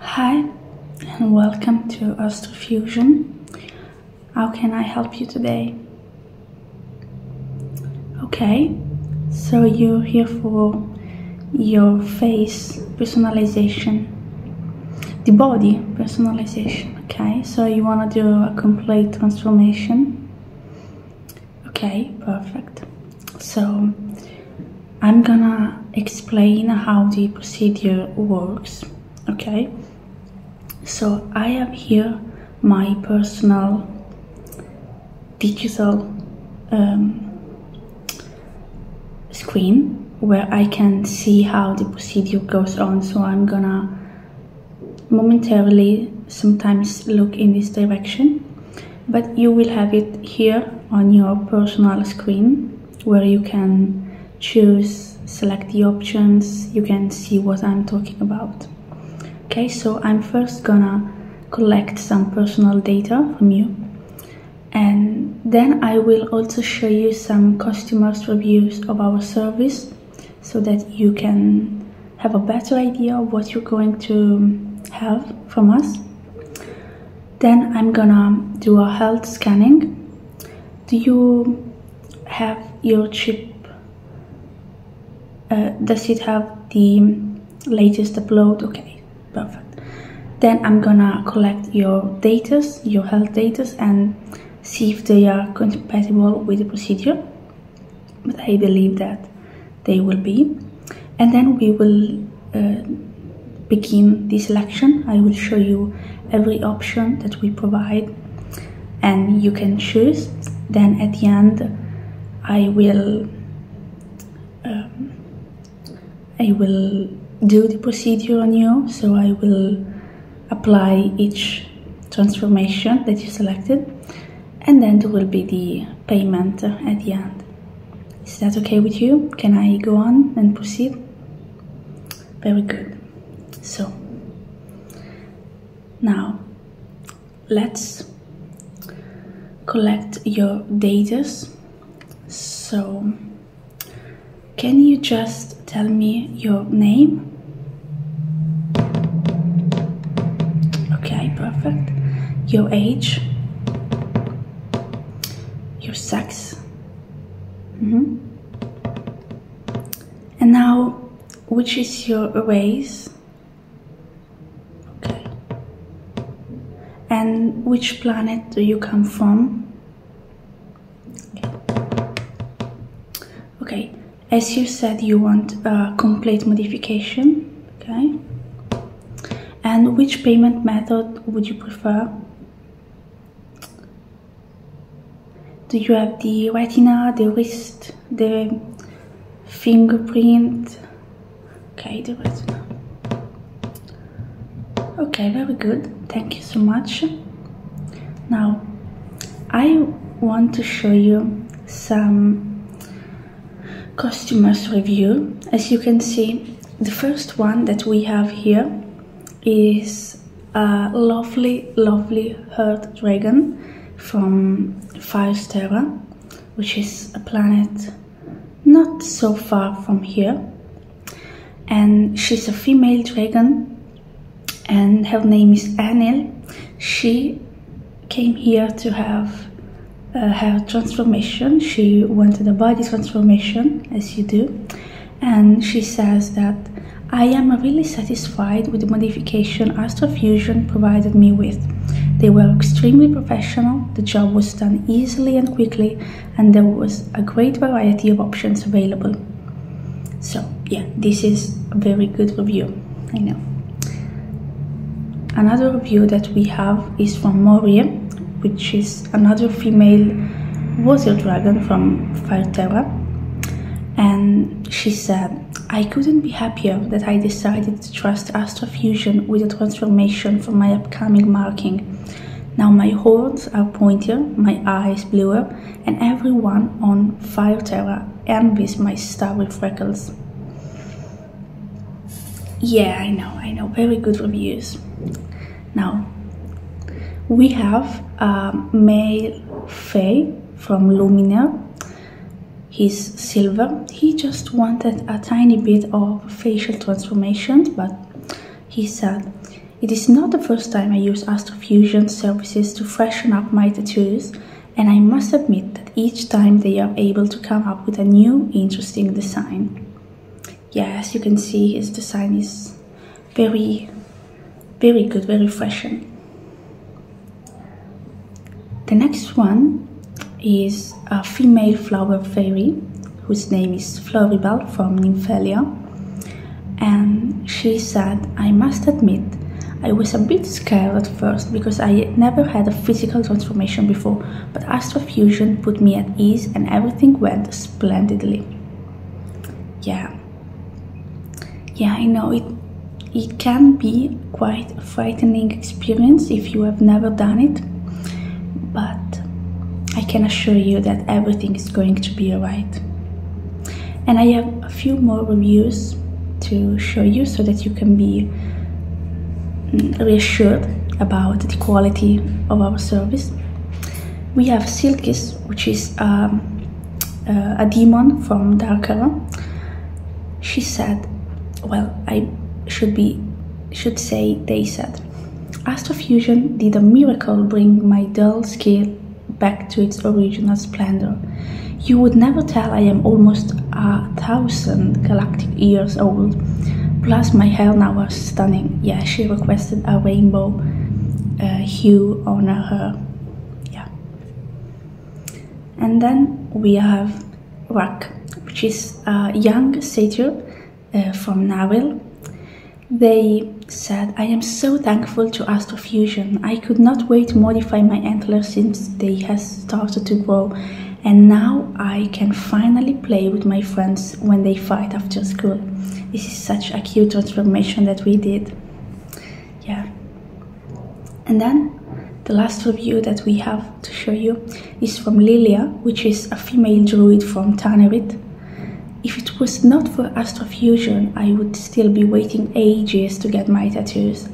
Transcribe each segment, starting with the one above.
Hi, and welcome to Astrofusion. How can I help you today? Okay, so you're here for your face personalization, the body personalization okay so you want to do a complete transformation okay perfect so I'm gonna explain how the procedure works okay so I have here my personal digital um, screen where I can see how the procedure goes on so I'm gonna momentarily sometimes look in this direction but you will have it here on your personal screen where you can choose select the options you can see what I'm talking about okay so I'm first gonna collect some personal data from you and then I will also show you some customers reviews of our service so that you can have a better idea of what you're going to have from us. Then I'm gonna do a health scanning. Do you have your chip? Uh, does it have the latest upload? Okay, perfect. Then I'm gonna collect your data, your health data, and see if they are compatible with the procedure but I believe that they will be and then we will uh, begin the selection I will show you every option that we provide and you can choose then at the end I will um, I will do the procedure on you so I will apply each transformation that you selected and then there will be the payment at the end. Is that okay with you? Can I go on and proceed? Very good. So, now let's collect your data. So, can you just tell me your name? Okay, perfect. Your age? Your sex? Mm -hmm. And now, which is your race? Okay. And which planet do you come from? okay as you said you want a complete modification okay and which payment method would you prefer do you have the retina the wrist the fingerprint okay the retina okay very good thank you so much now I want to show you some customers review as you can see the first one that we have here is a lovely lovely heart dragon from Firestera which is a planet not so far from here and she's a female dragon and her name is Anil. She came here to have uh, her transformation. She wanted a body transformation, as you do. And she says that I am really satisfied with the modification Astro Fusion provided me with. They were extremely professional, the job was done easily and quickly, and there was a great variety of options available. So yeah, this is a very good review, I know. Another review that we have is from Moria, which is another female water dragon from Fireterra. And she said, I couldn't be happier that I decided to trust Astro Fusion with a transformation for my upcoming marking. Now my horns are pointier, my eyes bluer, and everyone on Fire Terra envies my starry freckles. Yeah, I know, I know, very good reviews. Now, we have um, Male Faye from Lumina. He's silver. He just wanted a tiny bit of facial transformation, but he said, It is not the first time I use Astrofusion services to freshen up my tattoos, and I must admit that each time they are able to come up with a new, interesting design. Yeah, as you can see, his design is very, very good, very refreshing. The next one is a female flower fairy whose name is Floribel from Nymphalia, and she said, I must admit, I was a bit scared at first because I never had a physical transformation before, but Astrofusion put me at ease and everything went splendidly. Yeah. Yeah, I know it it can be quite a frightening experience if you have never done it but I can assure you that everything is going to be alright. And I have a few more reviews to show you so that you can be mm, reassured about the quality of our service. We have Silkis, which is um, uh, a demon from Darkara. She said, well, I should be should say they said Astrofusion did a miracle bring my dull scale back to its original splendor. You would never tell I am almost a thousand galactic years old. Plus, my hair now was stunning. Yeah, she requested a rainbow uh, hue on her. Yeah. And then we have Rak, which is a young satyr uh, from Nawil. They said, I am so thankful to Astro Fusion. I could not wait to modify my antlers since they has started to grow and now I can finally play with my friends when they fight after school. This is such a cute transformation that we did. Yeah. And then the last review that we have to show you is from Lilia, which is a female druid from Tanevit. If it was not for Astrofusion, I would still be waiting ages to get my tattoos.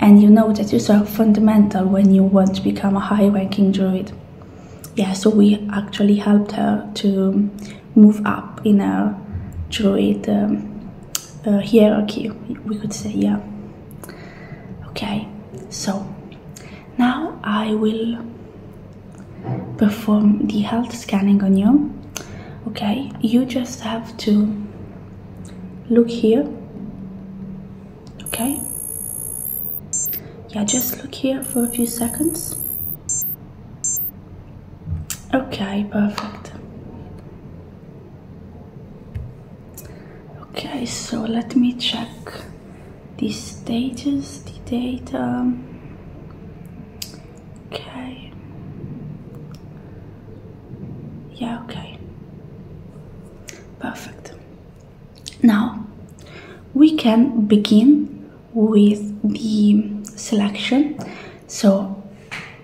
And you know tattoos are fundamental when you want to become a high-ranking druid. Yeah, so we actually helped her to move up in a druid um, uh, hierarchy, we could say, yeah. Okay, so now I will perform the health scanning on you. Okay, you just have to look here. Okay, yeah, just look here for a few seconds. Okay, perfect. Okay, so let me check the status, the data. Okay. Yeah, okay. Perfect. Now we can begin with the selection. So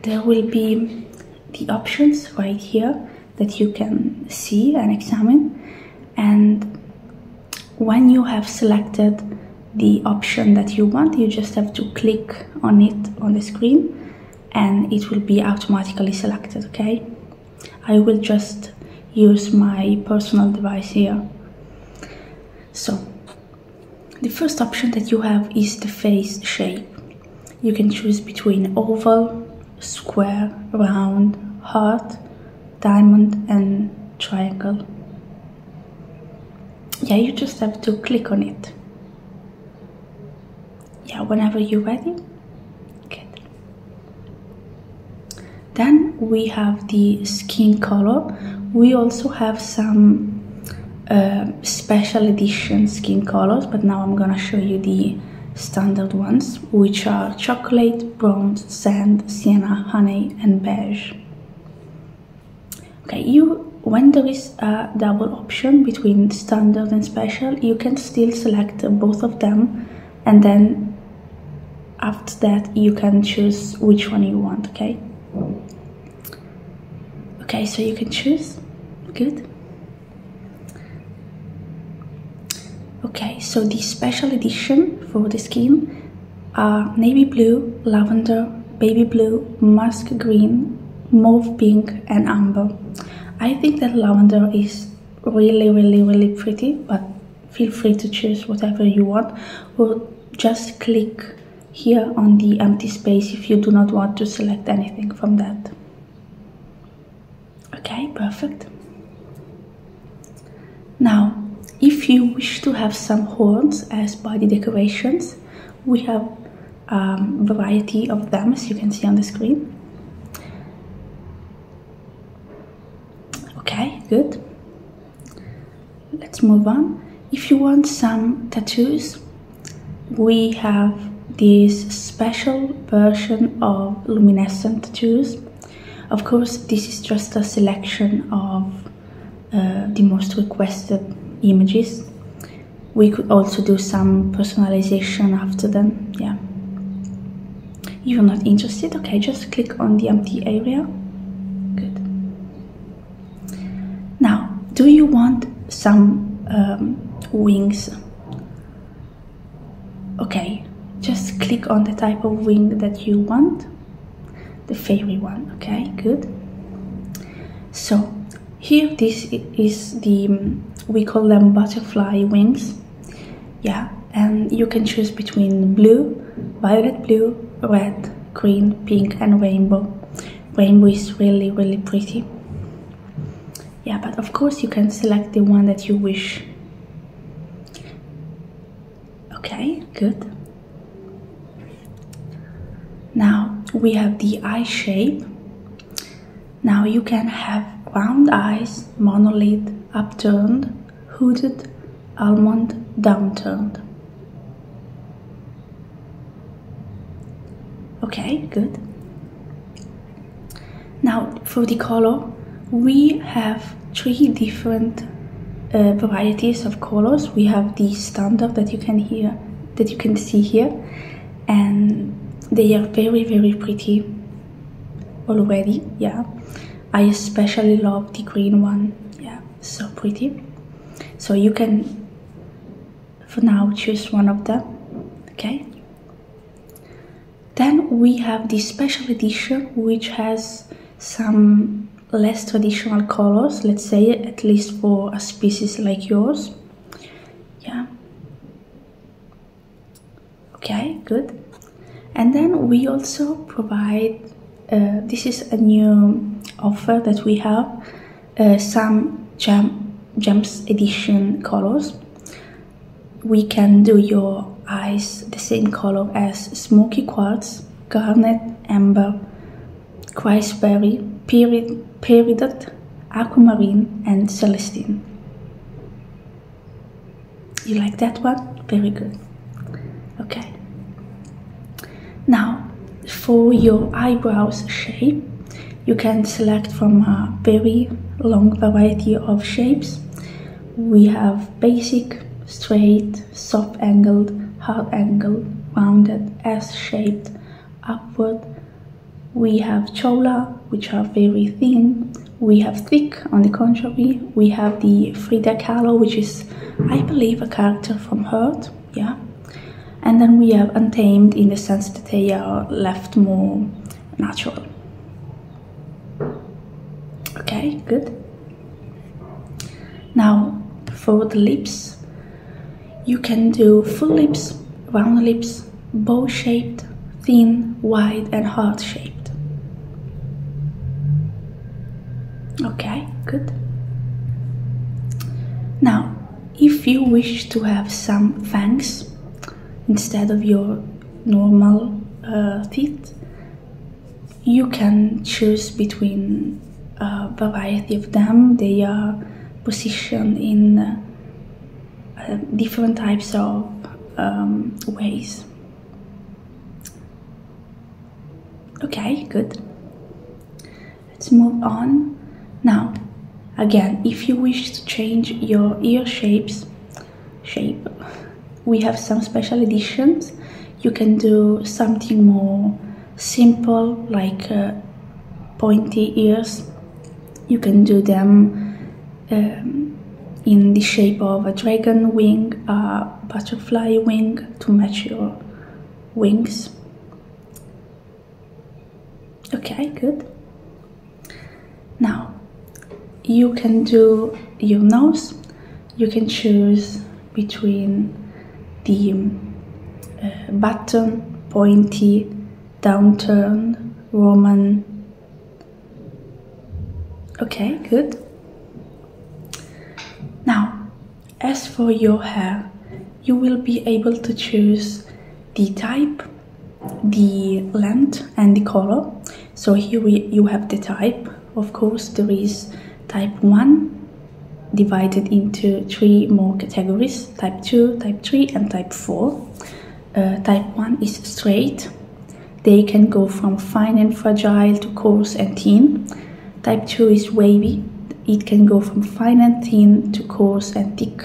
there will be the options right here that you can see and examine and when you have selected the option that you want you just have to click on it on the screen and it will be automatically selected okay I will just use my personal device here so the first option that you have is the face shape you can choose between oval square round heart diamond and triangle yeah you just have to click on it yeah whenever you're ready good then we have the skin color we also have some uh, special edition skin colors but now I'm gonna show you the standard ones, which are chocolate, brown, sand, sienna, honey, and beige. Okay, you when there is a double option between standard and special, you can still select both of them and then after that you can choose which one you want, okay? Okay, so you can choose. Good. Okay, so the special edition for the skin are navy blue, lavender, baby blue, musk green, mauve pink and amber. I think that lavender is really really really pretty but feel free to choose whatever you want or just click here on the empty space if you do not want to select anything from that. Okay, perfect. Now, if you wish to have some horns as body decorations, we have a um, variety of them as you can see on the screen. Okay, good. Let's move on. If you want some tattoos, we have this special version of luminescent juice. Of course, this is just a selection of uh, the most requested images. We could also do some personalization after them, yeah. You're not interested? Okay, just click on the empty area. Good. Now, do you want some um, wings? okay just click on the type of wing that you want the fairy one okay good so here this is the mm, we call them butterfly wings yeah and you can choose between blue violet blue red green pink and rainbow rainbow is really really pretty yeah but of course you can select the one that you wish okay good now we have the eye shape now you can have round eyes monolid upturned hooded almond downturned okay good now for the color, we have three different uh, varieties of colors. We have the standard that you can hear, that you can see here, and they are very very pretty already. Yeah, I especially love the green one. Yeah, so pretty. So you can for now choose one of them. Okay, then we have the special edition, which has some less traditional colors, let's say, at least for a species like yours. Yeah. Okay, good. And then we also provide, uh, this is a new offer that we have, uh, some jam gems edition colors we can do your eyes the same color as smoky quartz garnet amber Christberry, Perid peridot, aquamarine, and celestine. You like that one? Very good. Okay. Now, for your eyebrows shape, you can select from a very long variety of shapes. We have basic, straight, soft angled, hard angled, rounded, S-shaped, upward. We have chola, which are very thin. We have thick, on the contrary. We have the Frida Kahlo, which is, I believe, a character from Hurt, yeah and then we have untamed in the sense that they are left more natural. Okay, good. Now for the lips, you can do full lips, round lips, bow-shaped, thin, wide and heart-shaped. Okay, good. Now, if you wish to have some fangs instead of your normal uh, teeth, you can choose between a uh, variety of them. They are positioned in uh, different types of um, ways. Okay, good. Let's move on. Now, again, if you wish to change your ear shapes, shape, we have some special editions. You can do something more simple, like uh, pointy ears. You can do them um, in the shape of a dragon wing, a butterfly wing to match your wings okay good now you can do your nose you can choose between the uh, button pointy downturn, roman okay good now as for your hair you will be able to choose the type, the length and the color. So here you have the type. Of course, there is type 1 divided into three more categories, type 2, type 3 and type 4. Uh, type 1 is straight. They can go from fine and fragile to coarse and thin. Type 2 is wavy it can go from fine and thin to coarse and thick.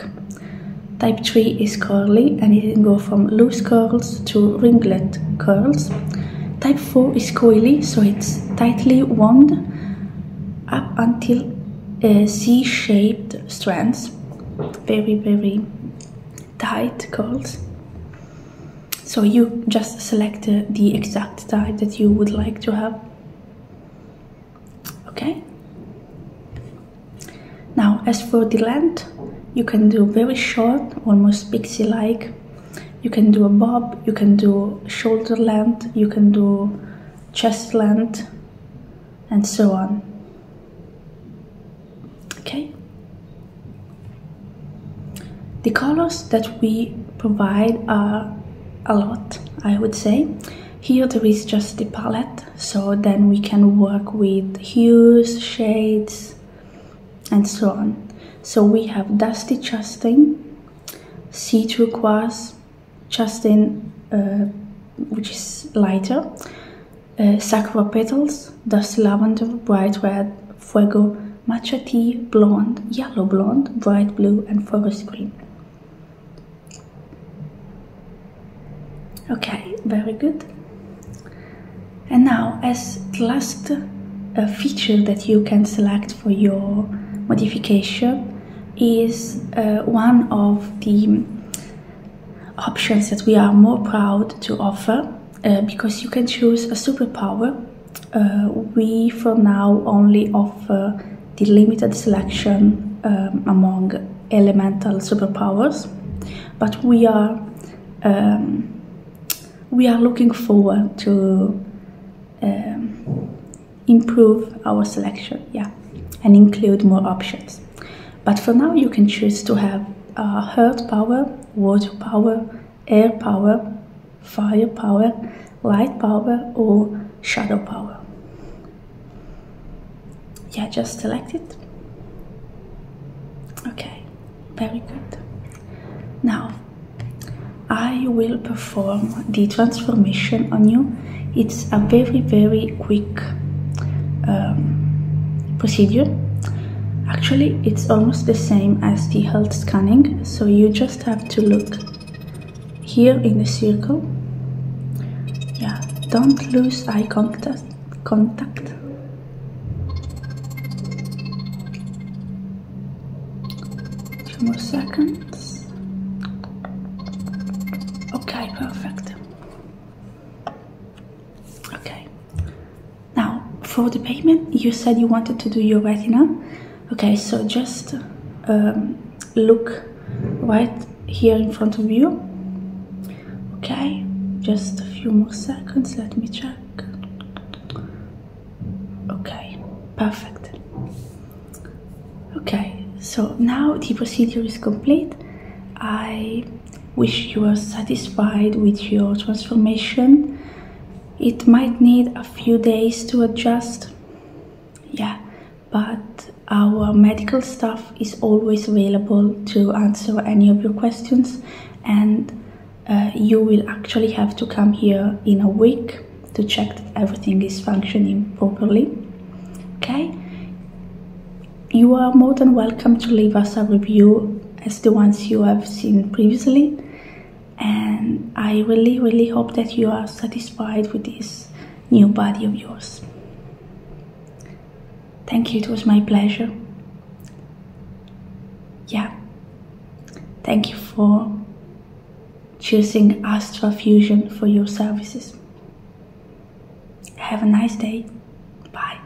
Type 3 is curly and it can go from loose curls to ringlet curls. Type 4 is coily, so it's tightly wound up until uh, C-shaped strands. Very, very tight curls. So you just select uh, the exact type that you would like to have okay now as for the length you can do very short almost pixie like you can do a bob you can do shoulder length you can do chest length and so on okay the colors that we provide are a lot i would say here there is just the palette, so then we can work with hues, shades, and so on. So we have Dusty Chastain, Sea Turquoise, Chastain, uh, which is lighter, uh, Sakura Petals, Dusty Lavender, Bright Red, Fuego, Matcha Tea, Blonde, Yellow Blonde, Bright Blue, and Forest Green. Okay, very good. And now, as the last uh, feature that you can select for your modification is uh, one of the options that we are more proud to offer uh, because you can choose a superpower. we for now only offer the limited selection um, among elemental superpowers, but we are um, we are looking forward to um, improve our selection, yeah, and include more options. But for now, you can choose to have uh, earth power, water power, air power, fire power, light power or shadow power. Yeah, just select it. Okay, very good. Now, I will perform the transformation on you. It's a very, very quick um, procedure. Actually, it's almost the same as the health scanning, so you just have to look here in the circle yeah don't lose eye contact contact two more seconds okay perfect okay now for the payment you said you wanted to do your retina okay so just um, look right here in front of you okay just a few more seconds let me check okay perfect okay so now the procedure is complete i wish you are satisfied with your transformation it might need a few days to adjust yeah but our medical staff is always available to answer any of your questions and uh, you will actually have to come here in a week to check that everything is functioning properly okay you are more than welcome to leave us a review as the ones you have seen previously and I really really hope that you are satisfied with this new body of yours. Thank you, it was my pleasure. Yeah, thank you for choosing Astra Fusion for your services. Have a nice day. Bye.